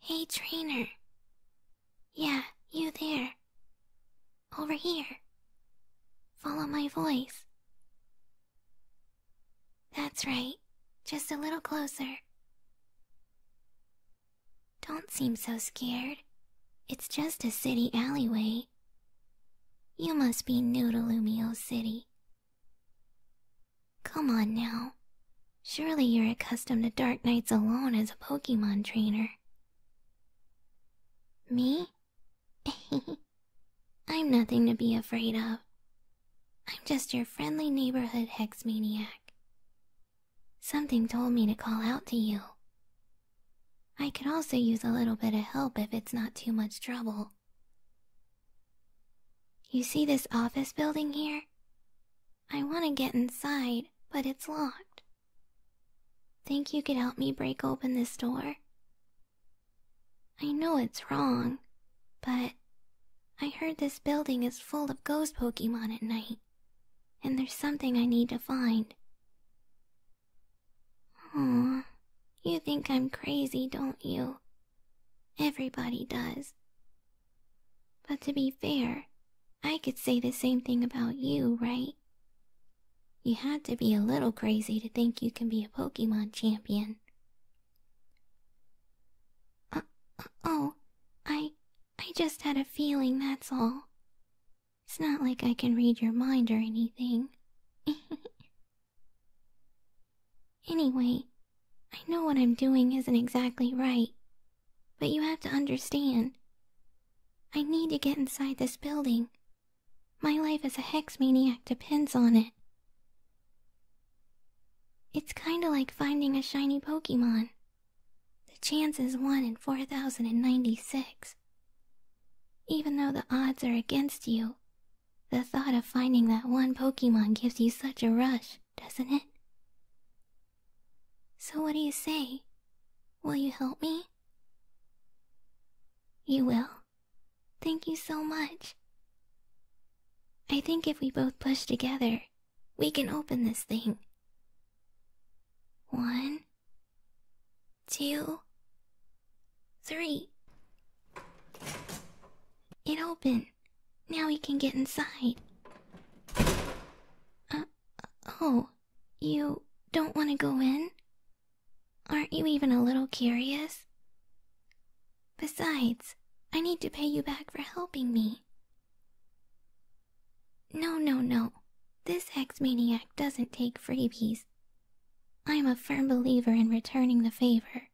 Hey, trainer. Yeah, you there. Over here. Follow my voice. That's right. Just a little closer. Don't seem so scared. It's just a city alleyway. You must be new to Lumio City, Come on now. Surely you're accustomed to dark nights alone as a Pokemon trainer. Me? I'm nothing to be afraid of. I'm just your friendly neighborhood hex maniac. Something told me to call out to you. I could also use a little bit of help if it's not too much trouble. You see this office building here? I want to get inside, but it's locked. Think you could help me break open this door? I know it's wrong, but I heard this building is full of ghost Pokemon at night, and there's something I need to find. Aw, you think I'm crazy, don't you? Everybody does. But to be fair, I could say the same thing about you, right? You had to be a little crazy to think you can be a Pokemon champion. Uh, uh, oh, I, I just had a feeling, that's all. It's not like I can read your mind or anything. Anyway, I know what I'm doing isn't exactly right, but you have to understand. I need to get inside this building. My life as a hex maniac depends on it. It's kinda like finding a shiny Pokemon. The chance is 1 in 4096. Even though the odds are against you, the thought of finding that one Pokemon gives you such a rush, doesn't it? So, what do you say? Will you help me? You will? Thank you so much. I think if we both push together, we can open this thing. One, two, three. It opened. Now we can get inside. Uh, oh, you don't want to go in? Aren't you even a little curious? Besides, I need to pay you back for helping me. No, no, no. This ex-maniac doesn't take freebies. I'm a firm believer in returning the favor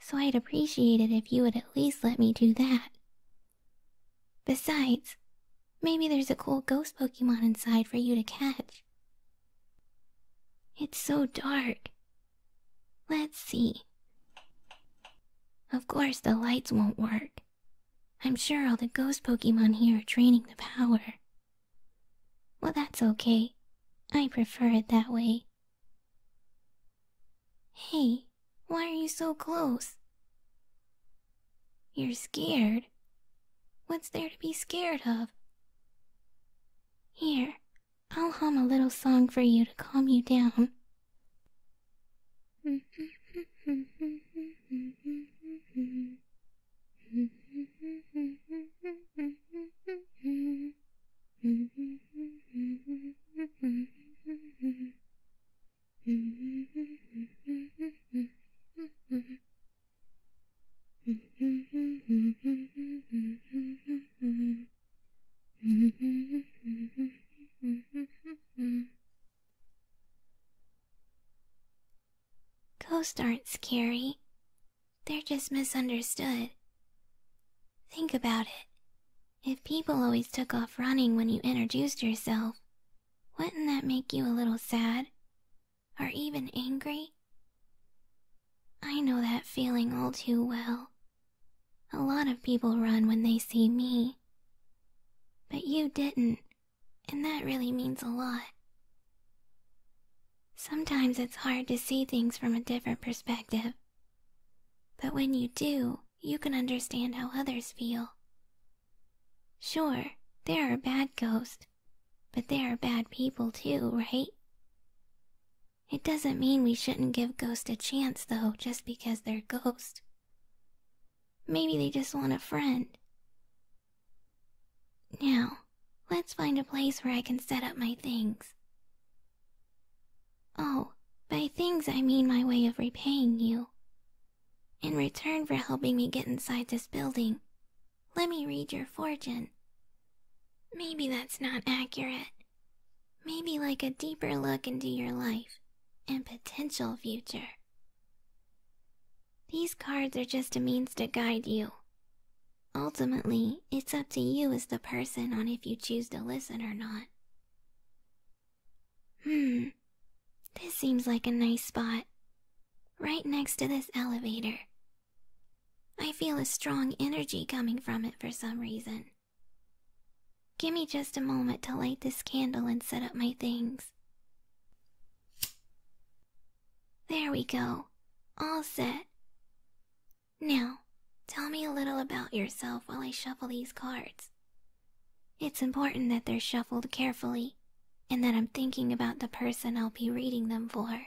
so I'd appreciate it if you would at least let me do that. Besides, maybe there's a cool ghost Pokemon inside for you to catch. It's so dark. Let's see. Of course, the lights won't work. I'm sure all the ghost Pokemon here are draining the power. Well, that's okay. I prefer it that way. Hey, why are you so close? You're scared? What's there to be scared of? Here, I'll hum a little song for you to calm you down. Ghosts aren't scary, they're just misunderstood. Think about it. If people always took off running when you introduced yourself, wouldn't that make you a little sad? Or even angry? I know that feeling all too well. A lot of people run when they see me. But you didn't, and that really means a lot. Sometimes it's hard to see things from a different perspective. But when you do, you can understand how others feel. Sure, they are a bad ghost, but they are bad people too, right? It doesn't mean we shouldn't give ghosts a chance, though, just because they're ghosts. Maybe they just want a friend. Now, let's find a place where I can set up my things. Oh, by things I mean my way of repaying you. In return for helping me get inside this building, let me read your fortune. Maybe that's not accurate. Maybe like a deeper look into your life and potential future. These cards are just a means to guide you Ultimately, it's up to you as the person on if you choose to listen or not. Hmm, this seems like a nice spot. Right next to this elevator. I feel a strong energy coming from it for some reason. Give me just a moment to light this candle and set up my things. There we go. All set. Now, tell me a little about yourself while I shuffle these cards. It's important that they're shuffled carefully and that I'm thinking about the person I'll be reading them for.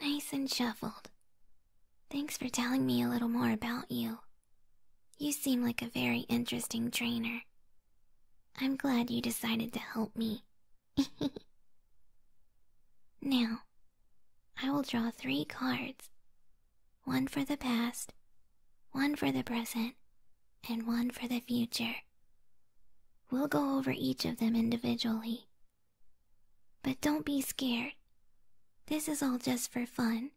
Nice and shuffled. Thanks for telling me a little more about you. You seem like a very interesting trainer. I'm glad you decided to help me. now, I will draw three cards. One for the past, one for the present, and one for the future. We'll go over each of them individually. But don't be scared. This is all just for fun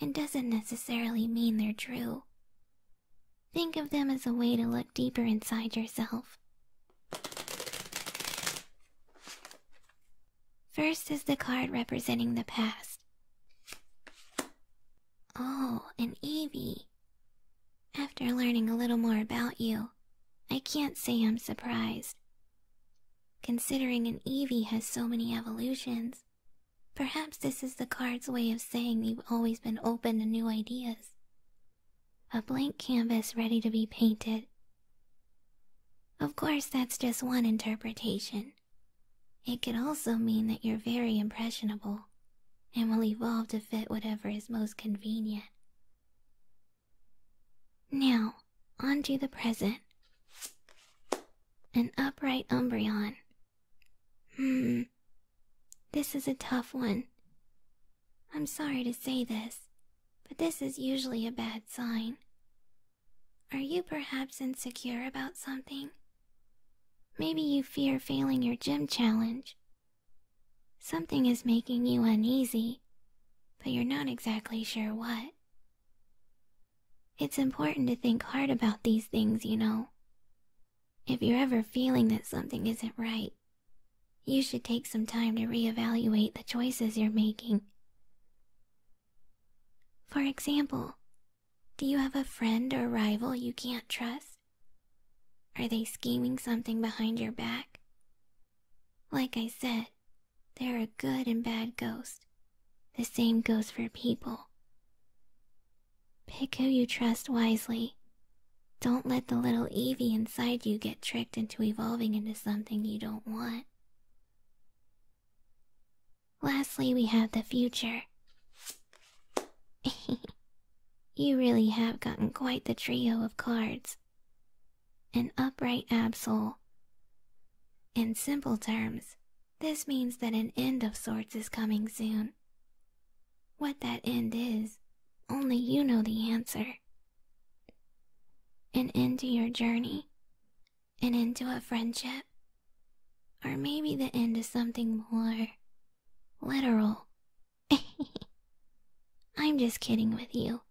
and doesn't necessarily mean they're true. Think of them as a way to look deeper inside yourself. First is the card representing the past. Oh, an Evie. After learning a little more about you, I can't say I'm surprised. Considering an Evie has so many evolutions, perhaps this is the card's way of saying you've always been open to new ideas. A blank canvas ready to be painted. Of course, that's just one interpretation, it could also mean that you're very impressionable and will evolve to fit whatever is most convenient. Now, on to the present. An upright Umbreon. Hmm. This is a tough one. I'm sorry to say this, but this is usually a bad sign. Are you perhaps insecure about something? Maybe you fear failing your gym challenge. Something is making you uneasy, but you're not exactly sure what. It's important to think hard about these things, you know. If you're ever feeling that something isn't right, you should take some time to reevaluate the choices you're making. For example, do you have a friend or rival you can't trust? Are they scheming something behind your back? Like I said, there are good and bad ghosts. The same goes for people. Pick who you trust wisely. Don't let the little Evie inside you get tricked into evolving into something you don't want. Lastly, we have the future. you really have gotten quite the trio of cards an upright absol. In simple terms, this means that an end of sorts is coming soon. What that end is, only you know the answer. An end to your journey, an end to a friendship, or maybe the end is something more literal. I'm just kidding with you.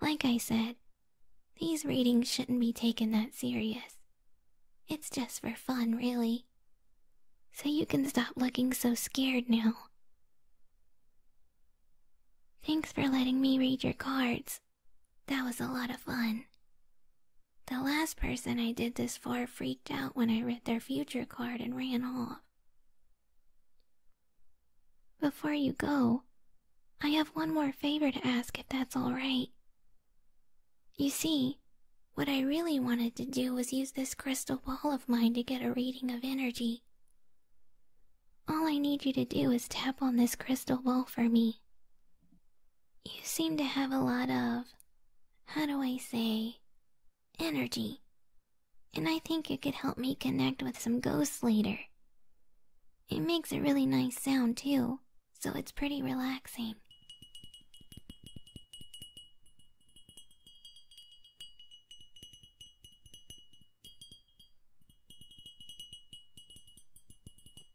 Like I said, these readings shouldn't be taken that serious. It's just for fun, really. So you can stop looking so scared now. Thanks for letting me read your cards. That was a lot of fun. The last person I did this for freaked out when I read their future card and ran off. Before you go, I have one more favor to ask if that's all right. You see, what I really wanted to do was use this crystal ball of mine to get a reading of energy. All I need you to do is tap on this crystal ball for me. You seem to have a lot of, how do I say, energy. And I think it could help me connect with some ghosts later. It makes a really nice sound too, so it's pretty relaxing.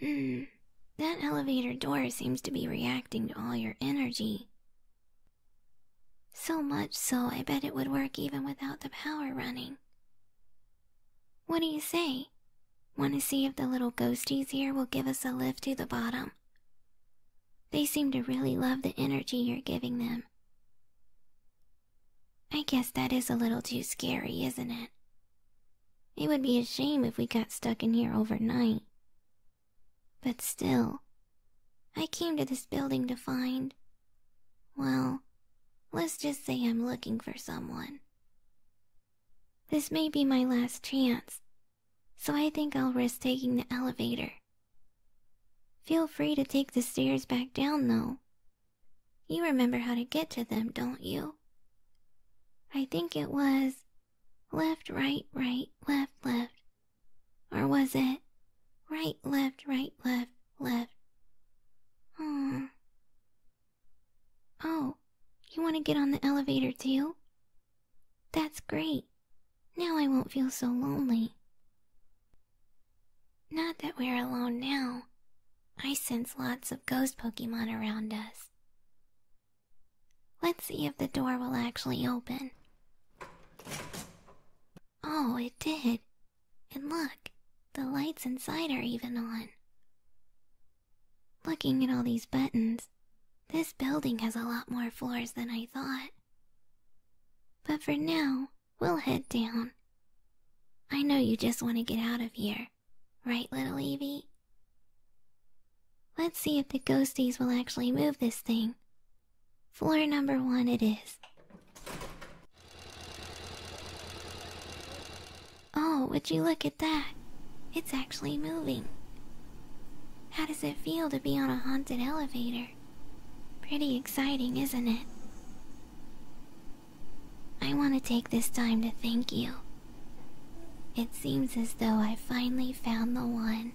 Hmm. That elevator door seems to be reacting to all your energy. So much so, I bet it would work even without the power running. What do you say? Want to see if the little ghosties here will give us a lift to the bottom? They seem to really love the energy you're giving them. I guess that is a little too scary, isn't it? It would be a shame if we got stuck in here overnight. But still, I came to this building to find. Well, let's just say I'm looking for someone. This may be my last chance, so I think I'll risk taking the elevator. Feel free to take the stairs back down, though, you remember how to get to them, don't you? I think it was left, right, right, left, left. Or was it right, left, right, left, left? Hmm. Oh, you want to get on the elevator do you? That's great. Now I won't feel so lonely. Not that we're alone now. I sense lots of ghost Pokemon around us. Let's see if the door will actually open. Oh, it did. And look, the lights inside are even on. Looking at all these buttons, this building has a lot more floors than I thought. But for now, we'll head down. I know you just want to get out of here, right, little Evie? Let's see if the ghosties will actually move this thing. Floor number one it is. Oh, would you look at that? It's actually moving. How does it feel to be on a haunted elevator? Pretty exciting, isn't it? I want to take this time to thank you. It seems as though I finally found the one.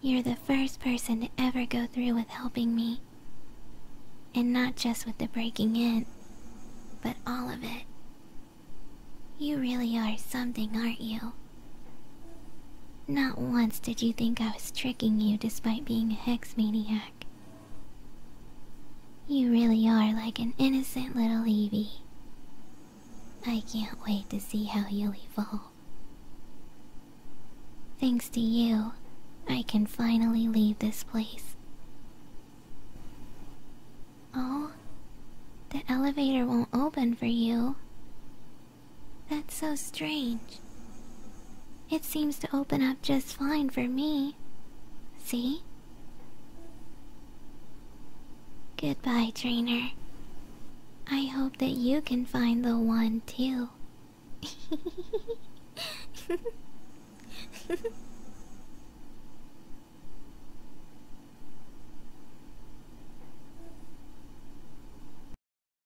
You're the first person to ever go through with helping me. And not just with the breaking in, but all of it. You really are something, aren't you? Not once did you think I was tricking you despite being a hex maniac. You really are like an innocent little Evie. I can't wait to see how you'll evolve. Thanks to you, I can finally leave this place. Oh, the elevator won't open for you. That's so strange. It seems to open up just fine for me. See? Goodbye, trainer. I hope that you can find the one too.